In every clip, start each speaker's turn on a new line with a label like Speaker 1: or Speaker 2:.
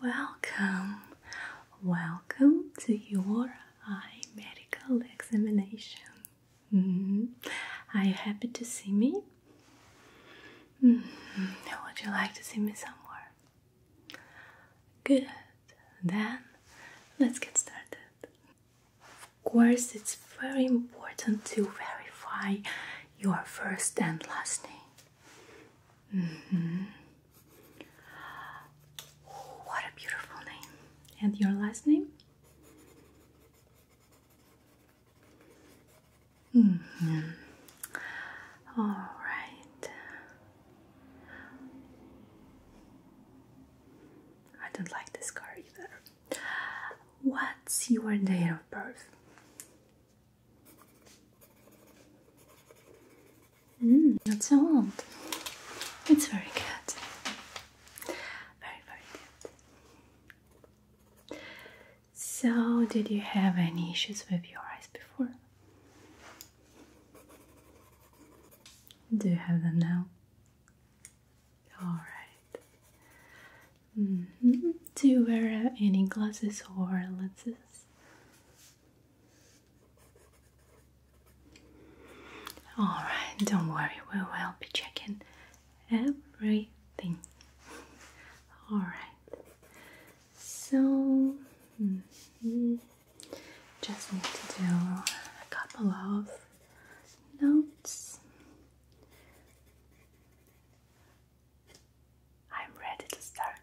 Speaker 1: Welcome, welcome to your eye medical examination. Mm-hmm. Are you happy to see me? Mm-hmm. Would you like to see me some more? Good, then let's get started. Of course, it's very important to verify your first and last name. Mm-hmm. What a beautiful name. And your last name? Mm-hmm. All right. I don't like this card either. What's your date of birth? Mm, not so old. It's very good. Very, very good. So, did you have any issues with your eyes before? Do you have them now? Alright. Mm-hmm. Do you wear uh, any glasses or lenses? Alright, don't worry, we will be checking everything. Alright, so mm-hmm. just need to do a couple of notes. I'm ready to start.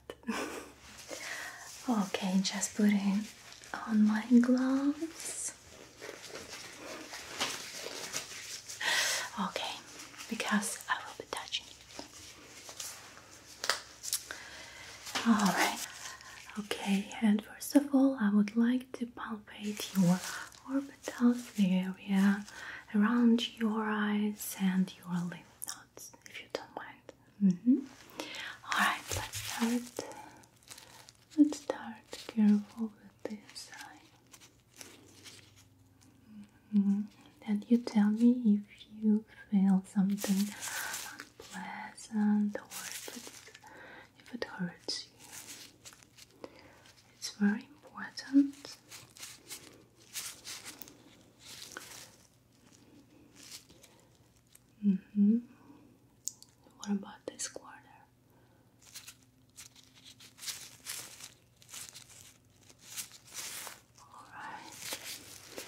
Speaker 1: okay, just putting on my gloves. Okay, because I will be touching you. Alright. Okay, and first of all, I would like to palpate your or bit of the area around your eyes and your lymph nodes, if you don't mind. Mm-hmm. Alright, let's start. Let's start careful with this eye. Mm-hmm. And you tell me if you feel something unpleasant or if it, if it hurts you. It's very important Mm hmm. What about this quarter? All right.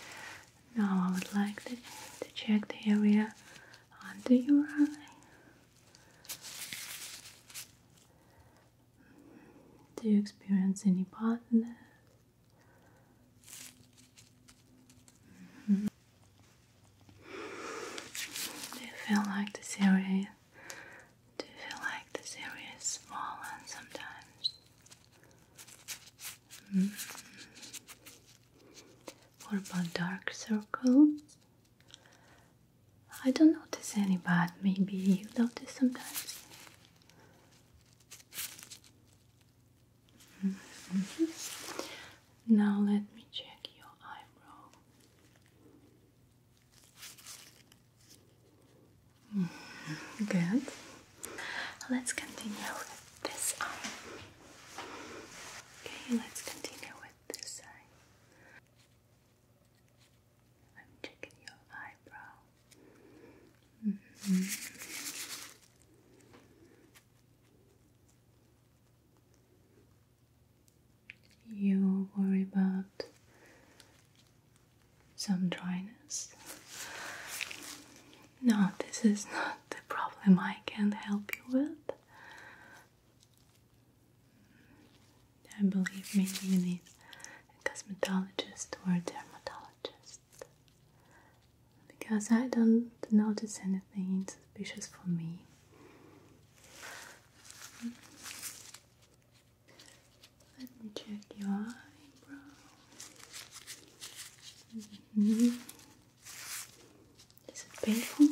Speaker 1: Now I would like to, to check the area under your eye. Do you experience any partners? Mm-hmm. Do you feel like this area? Do you feel like this area is swollen sometimes? Mm about dark circles? I don't notice any, but maybe you notice sometimes. Mm-hmm. Now let me check your eyebrow. Mm-hmm. Good. Let's continue with this eye. Okay, let's continue with this eye. I'm checking your eyebrow. Mm-hmm. You worry about some dryness? No, this is not the problem I can not help you with. I believe maybe you need a cosmetologist or a dermatologist because I don't notice anything suspicious for me. Let me check your eyebrow. Is it painful?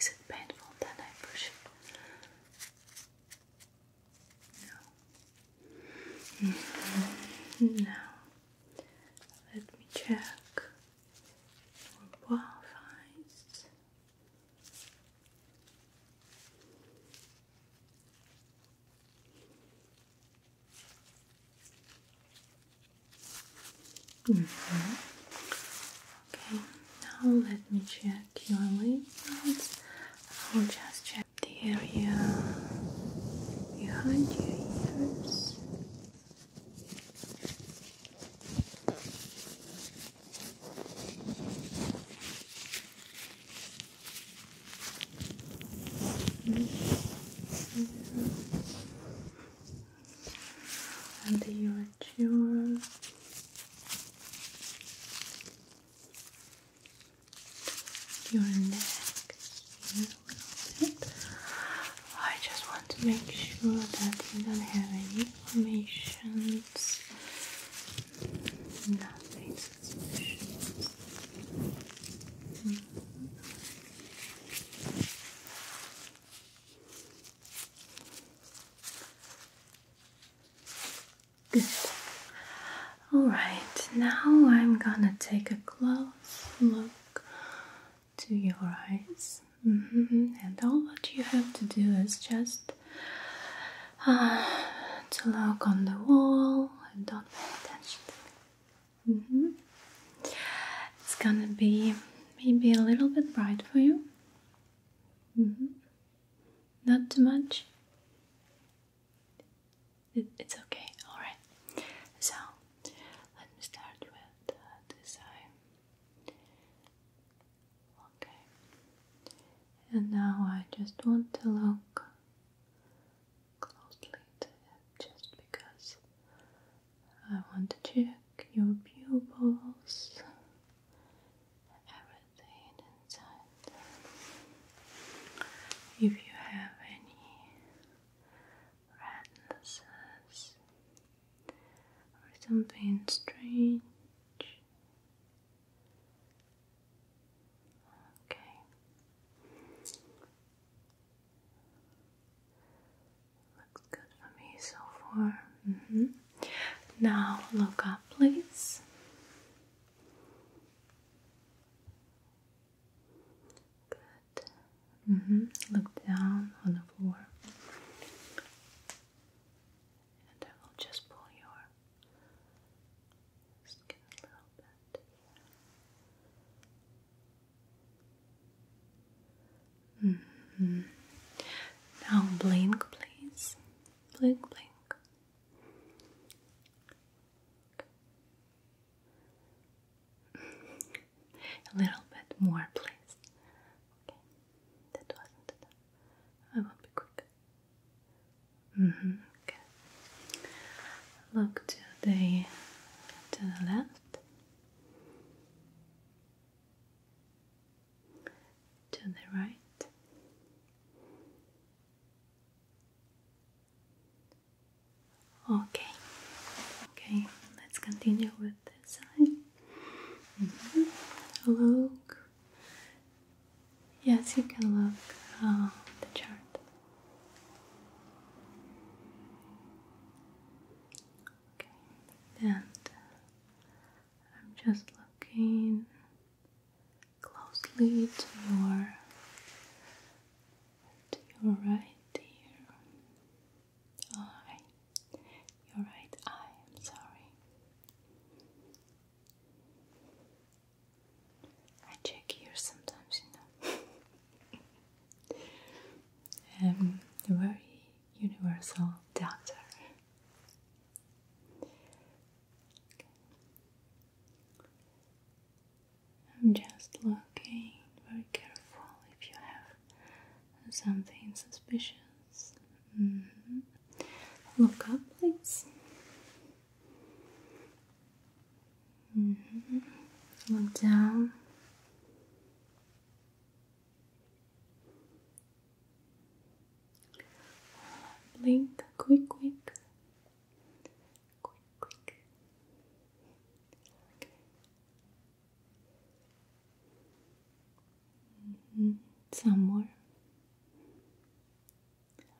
Speaker 1: Is it painful that I push it? No. Mm let me check your both mm-hmm. Okay, now let me check check your lymph nodes. I will just check the area behind your ears. Mm your jaw, your neck a little bit. I just want to make sure that you don't have any formations, nothing suspicious. Good. Alright, now I'm gonna take a close look to your eyes. Mm-hmm. And all what you have to do is just uh, to look on the wall and don't pay attention to me. Mm-hmm. It's gonna be maybe a little bit bright for you. Mm-hmm. Not too much? it's okay, alright. So, let me start with this eye. Okay. And now I just want to look closely to just because I want to check your pupils, if you have any rednesses or something strange, okay, looks good for me so far. Mm-hmm. Now look up, please. Good. Mm-hmm. Look down on the floor. And I will just pull your skin a little bit. Mm-hmm. Now blink, please blink, blink. A little bit more, please. Okay, that wasn't enough. I will be quick. Mm-hmm. Look to the to the left to the right. Okay, okay, let's continue with this side. Mm-hmm. Look, yes, you can look uh, the chart. Okay, and I'm just looking closely to your to your right ear. Eye. Your right eye, I'm sorry. I check ears sometimes, you know. i very universal doctor. I'm just looking very careful if you have something suspicious. Mm-hmm. Look up, please. Mm Look down. Blink, quick, quick, quick, quick. Okay. Some more.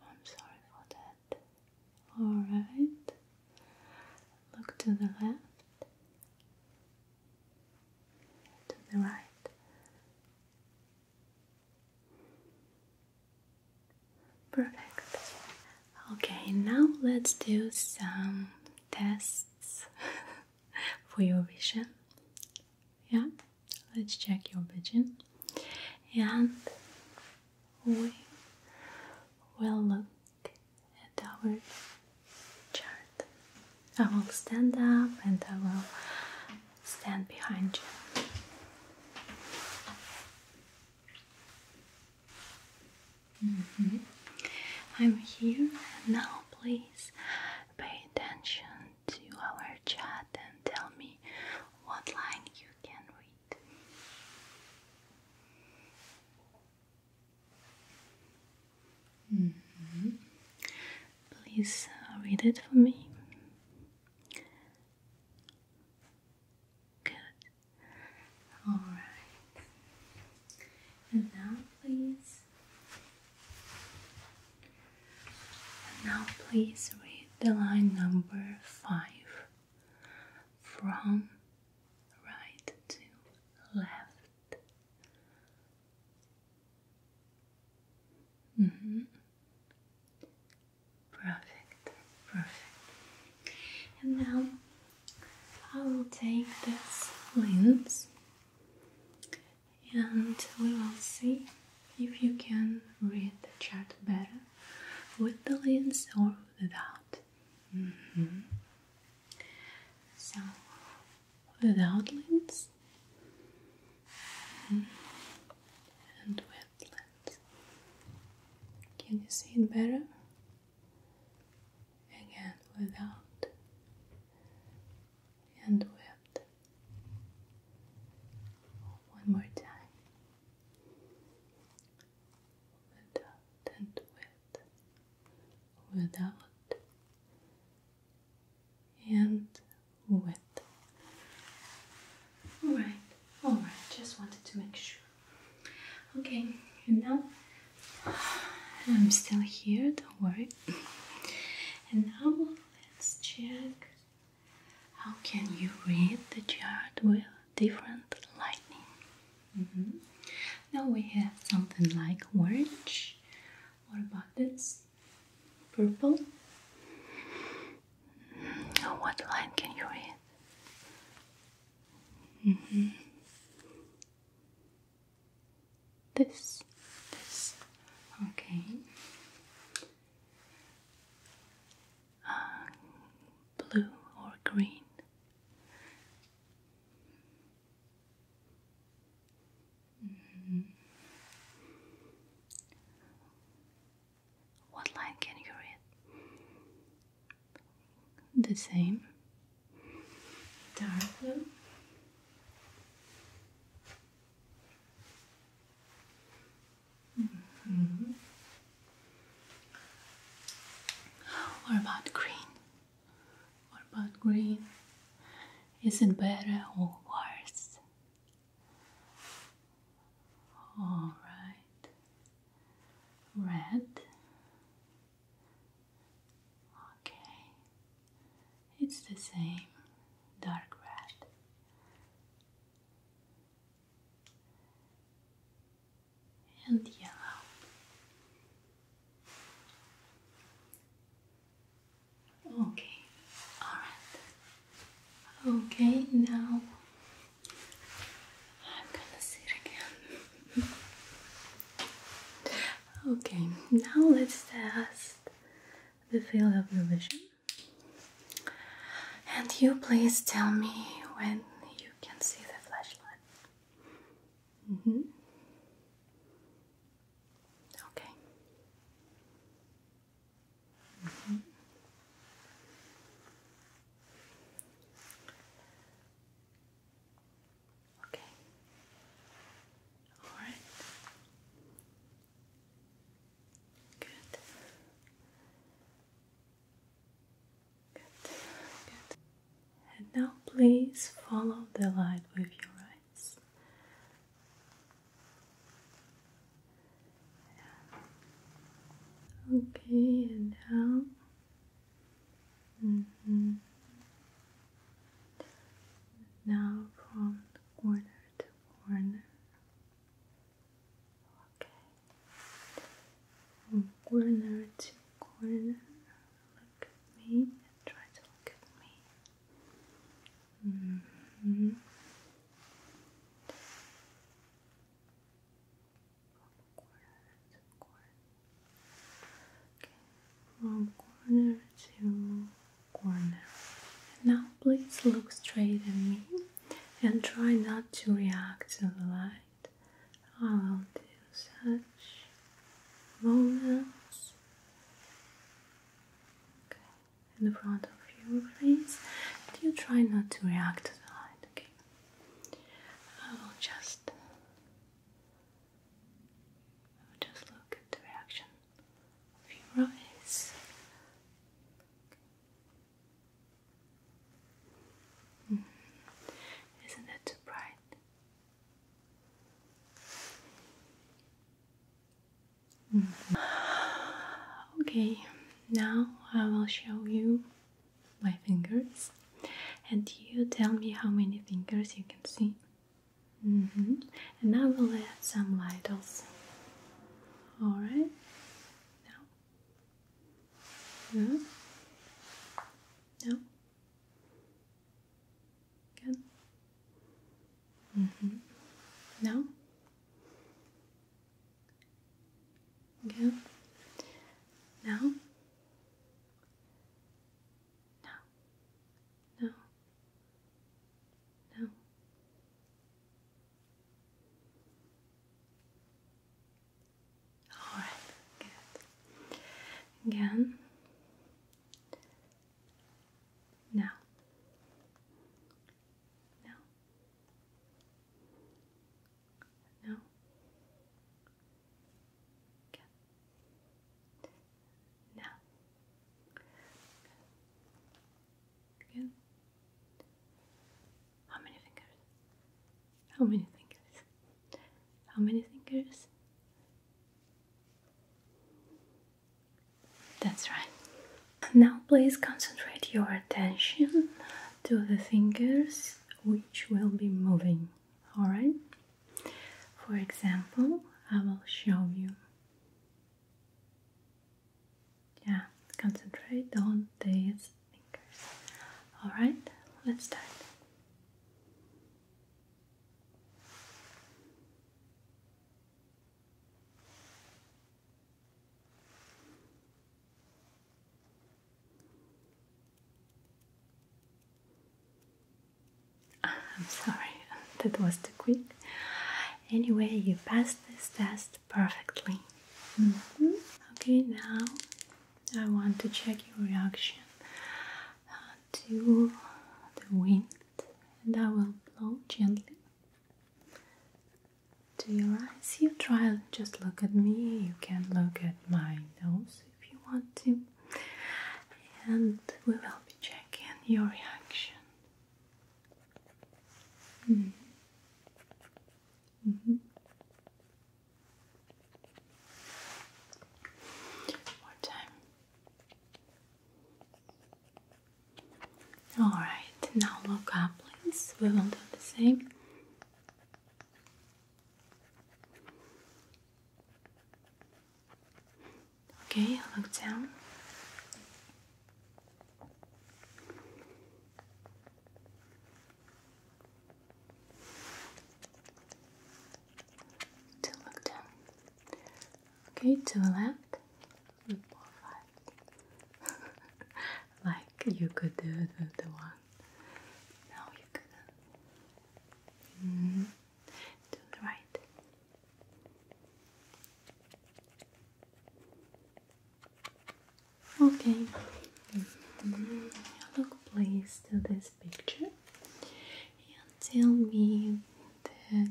Speaker 1: I'm sorry for that. All right. Look to the left, to the right. Perfect. Okay, now let's do some tests for your vision. Yeah, let's check your vision. And we will look at our chart. I will stand up and I will stand behind you. Mm-hmm. I'm here now. Please pay attention to our chat and tell me what line you can read. Please uh, read it for me. Good. Alright. And now, please. And now, please read the line number five from right to left. Mm-hmm. Perfect, perfect. And now I will take this lens and we will see if you can read the chart better with the lens or without. Mm-hmm. So without lens mm-hmm. and with lens. Can you see it better? Again, without and with. One more time. Without and with. Without and with. Alright, alright, just wanted to make sure. Okay, and now I'm still here, don't worry. And now let's check how can you read the chart with different lighting. Mm-hmm. Now we have something like orange. What about this? Purple. What line can you read? Mm-hmm. This, this, okay. Uh, blue or green? Mm-hmm. What line can you read? The same. Dark blue. Mm-hmm. about green? about green? Is it better or worse? All right. Red. Okay. It's the same. Dark red. And yellow. Okay, alright. Okay, now I'm gonna sit again. okay, now let's test the field of vision. And you please tell me when you can see the flashlight. Mm -hmm. Okay. Mm-hmm. Okay. All right. Good. Good. Good. And now please follow the light with your eyes. Okay, and down. Mm-hmm. Now from corner to corner. Okay. corner to corner. Look at me and try to look at me. Mm -hmm. to quarter. Okay, from corner to corner. now please look straight at me and try not to react to the light. I will do such moments in the front of you, please. Do you try not to react to the light. Okay. I will just, I will just look at the reaction of your eyes. Mm-hmm. Isn't it too bright? Okay, now I will show you my fingers, and you tell me how many fingers you can see. Mm -hmm. And I will add some light also. Alright, no, no, Good. Mm -hmm. Now? No. No. No. All right. Good. Again. No. Now. Now. Okay. Now. Good. How many fingers? How many fingers? How many fingers? That's right. Now, please concentrate your attention to the fingers which will be moving. Alright? For example, I will show you. Yeah, concentrate on these fingers. Alright, let's start. I'm sorry, that was too quick. Anyway, you passed this test perfectly. Mm-hmm. Okay, now I want to check your reaction uh, to the wind, and I will blow gently to your eyes. You try, just look at me. You can look at my nose if you want to, and we will be checking your reaction. Mm-hmm. Mm-hmm. One more time. Alright, now look up, please. We will do the same. Okay, look down. To look down. Okay, to the left. like you could do the, one. No, you couldn't. Mm-hmm. the right. Okay. Mm please, to this picture and tell me the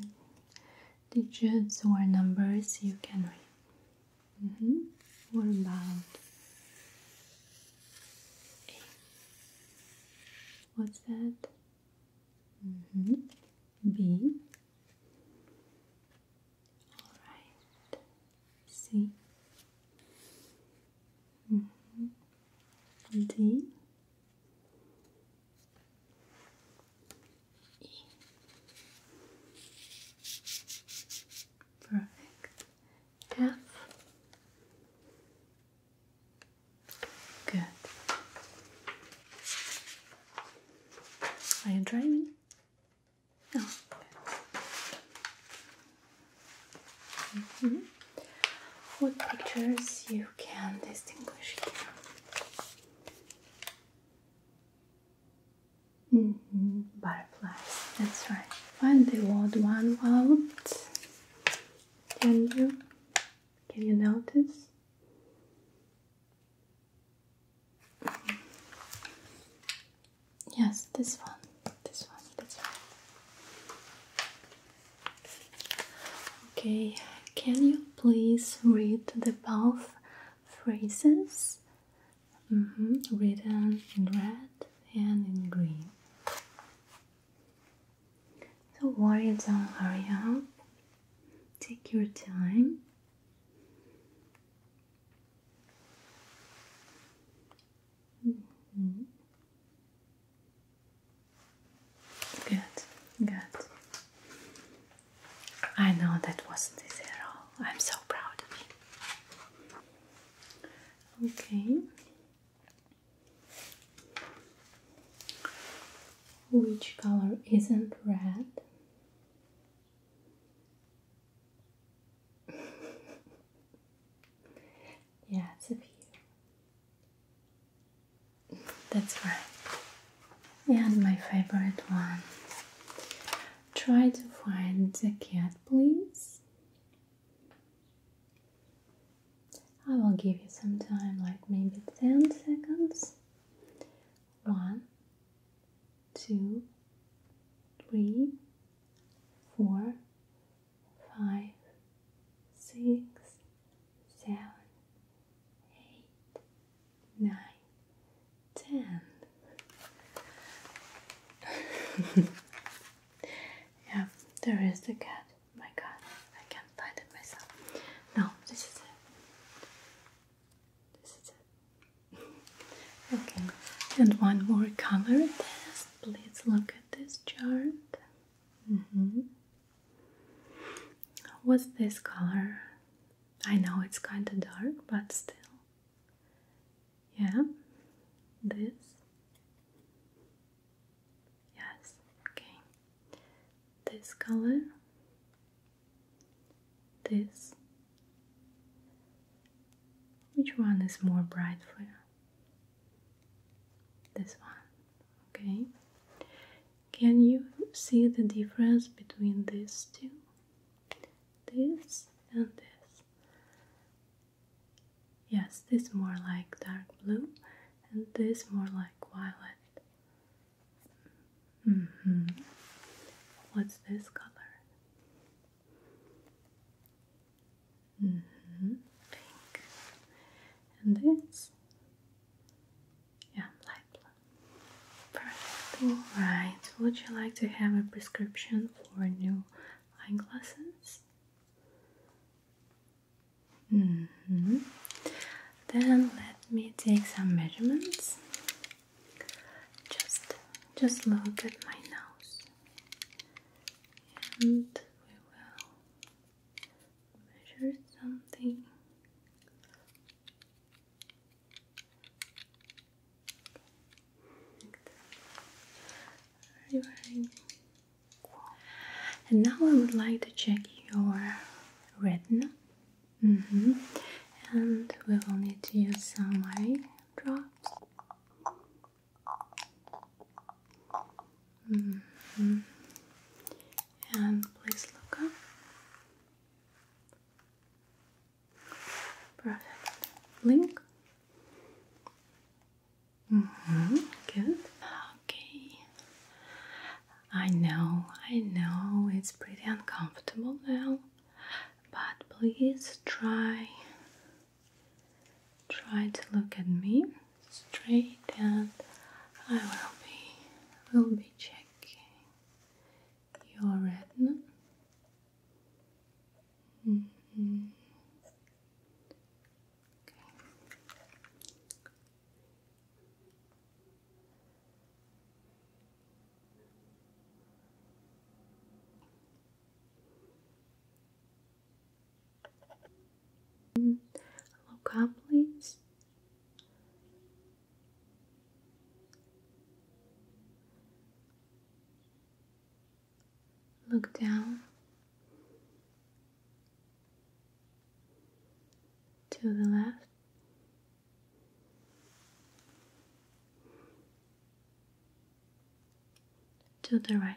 Speaker 1: digits or numbers you can read. Mm -hmm. What about What's that? Mm -hmm. B. All right. C. Mm-hmm. Perfect. F. Good. Are you driving? No. Mm-hmm on what pictures you can distinguish here. Mm-hmm, butterflies, that's right. Find the odd one out. Can you can you notice? Yes, this one, this one, this one. Okay, can you please read the both phrases? Mm-hmm, written in red and in green. So worry, don't hurry up. Take your time. Mm-hmm. Good, good. I know that wasn't easy all. I'm so proud of you. Okay. Which color isn't red? yeah, it's a few. That's right. And my favorite one. Try to find the cat, please. I will give you some time, like maybe 10 seconds. One, two, three, four, five, six, seven, eight, nine, ten. yeah, there is the cat. My God, I can't find it myself. No, this is it. This is it. okay, and one more color test. Please look at this chart. Mm -hmm. What's this color? I know it's kind of dark, but still. Yeah, this. Yes, okay. This color. This. Which one is more bright for you? This one. Okay, can you see the difference between these two? This and this. Yes, this more like dark blue, and this more like violet. -hmm. What's this color? -hmm. Pink. And this yeah, light blue. Perfect. Alright, would you like to have a prescription for new eyeglasses? Mm hmm Then let me take some measurements. Just just look at my nose. And we will measure something. Very, And now I would like to check your retina. Mm -hmm. And we will need to use some eye drops. Mm-hmm. And please look up. Perfect. Blink. Mm hmm. Good. Okay. I know, I know it's pretty uncomfortable now, but please try Try to look at me straight and I will be will be checking your retina. Mm-hmm. Mm. Hello, goblins. Look down to the left. To the right,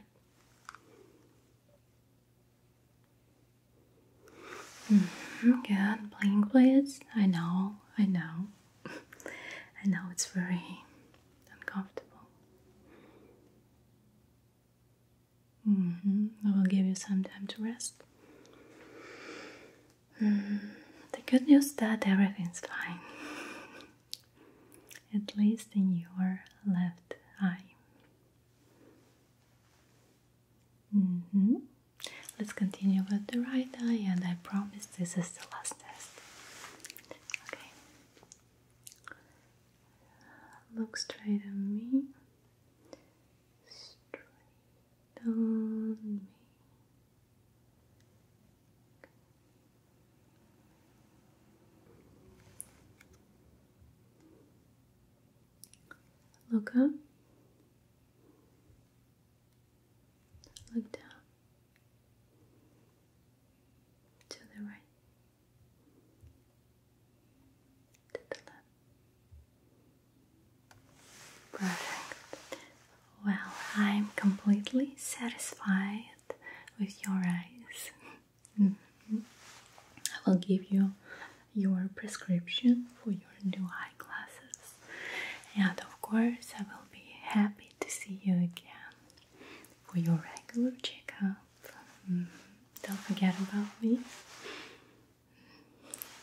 Speaker 1: Mm -hmm, good, blink please. I know, I know. I know it's very uncomfortable. Mm-hmm. I will give you some time to rest. Mm-hmm. the good news that everything's fine. At least in your left eye. Mm-hmm. Let's continue with the right eye, and I promise this is the last test. Okay. Look straight at Straight on me. Look up. Look down. To the right. To the left. Perfect. Well, I'm completely satisfied with your eyes. I will give you your prescription for your new eye glasses, and of course, I will be happy to see you again for your regular checkup. Mm Don't forget about me.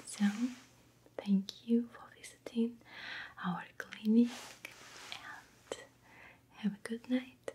Speaker 1: So, thank you for visiting our clinic and have a good night.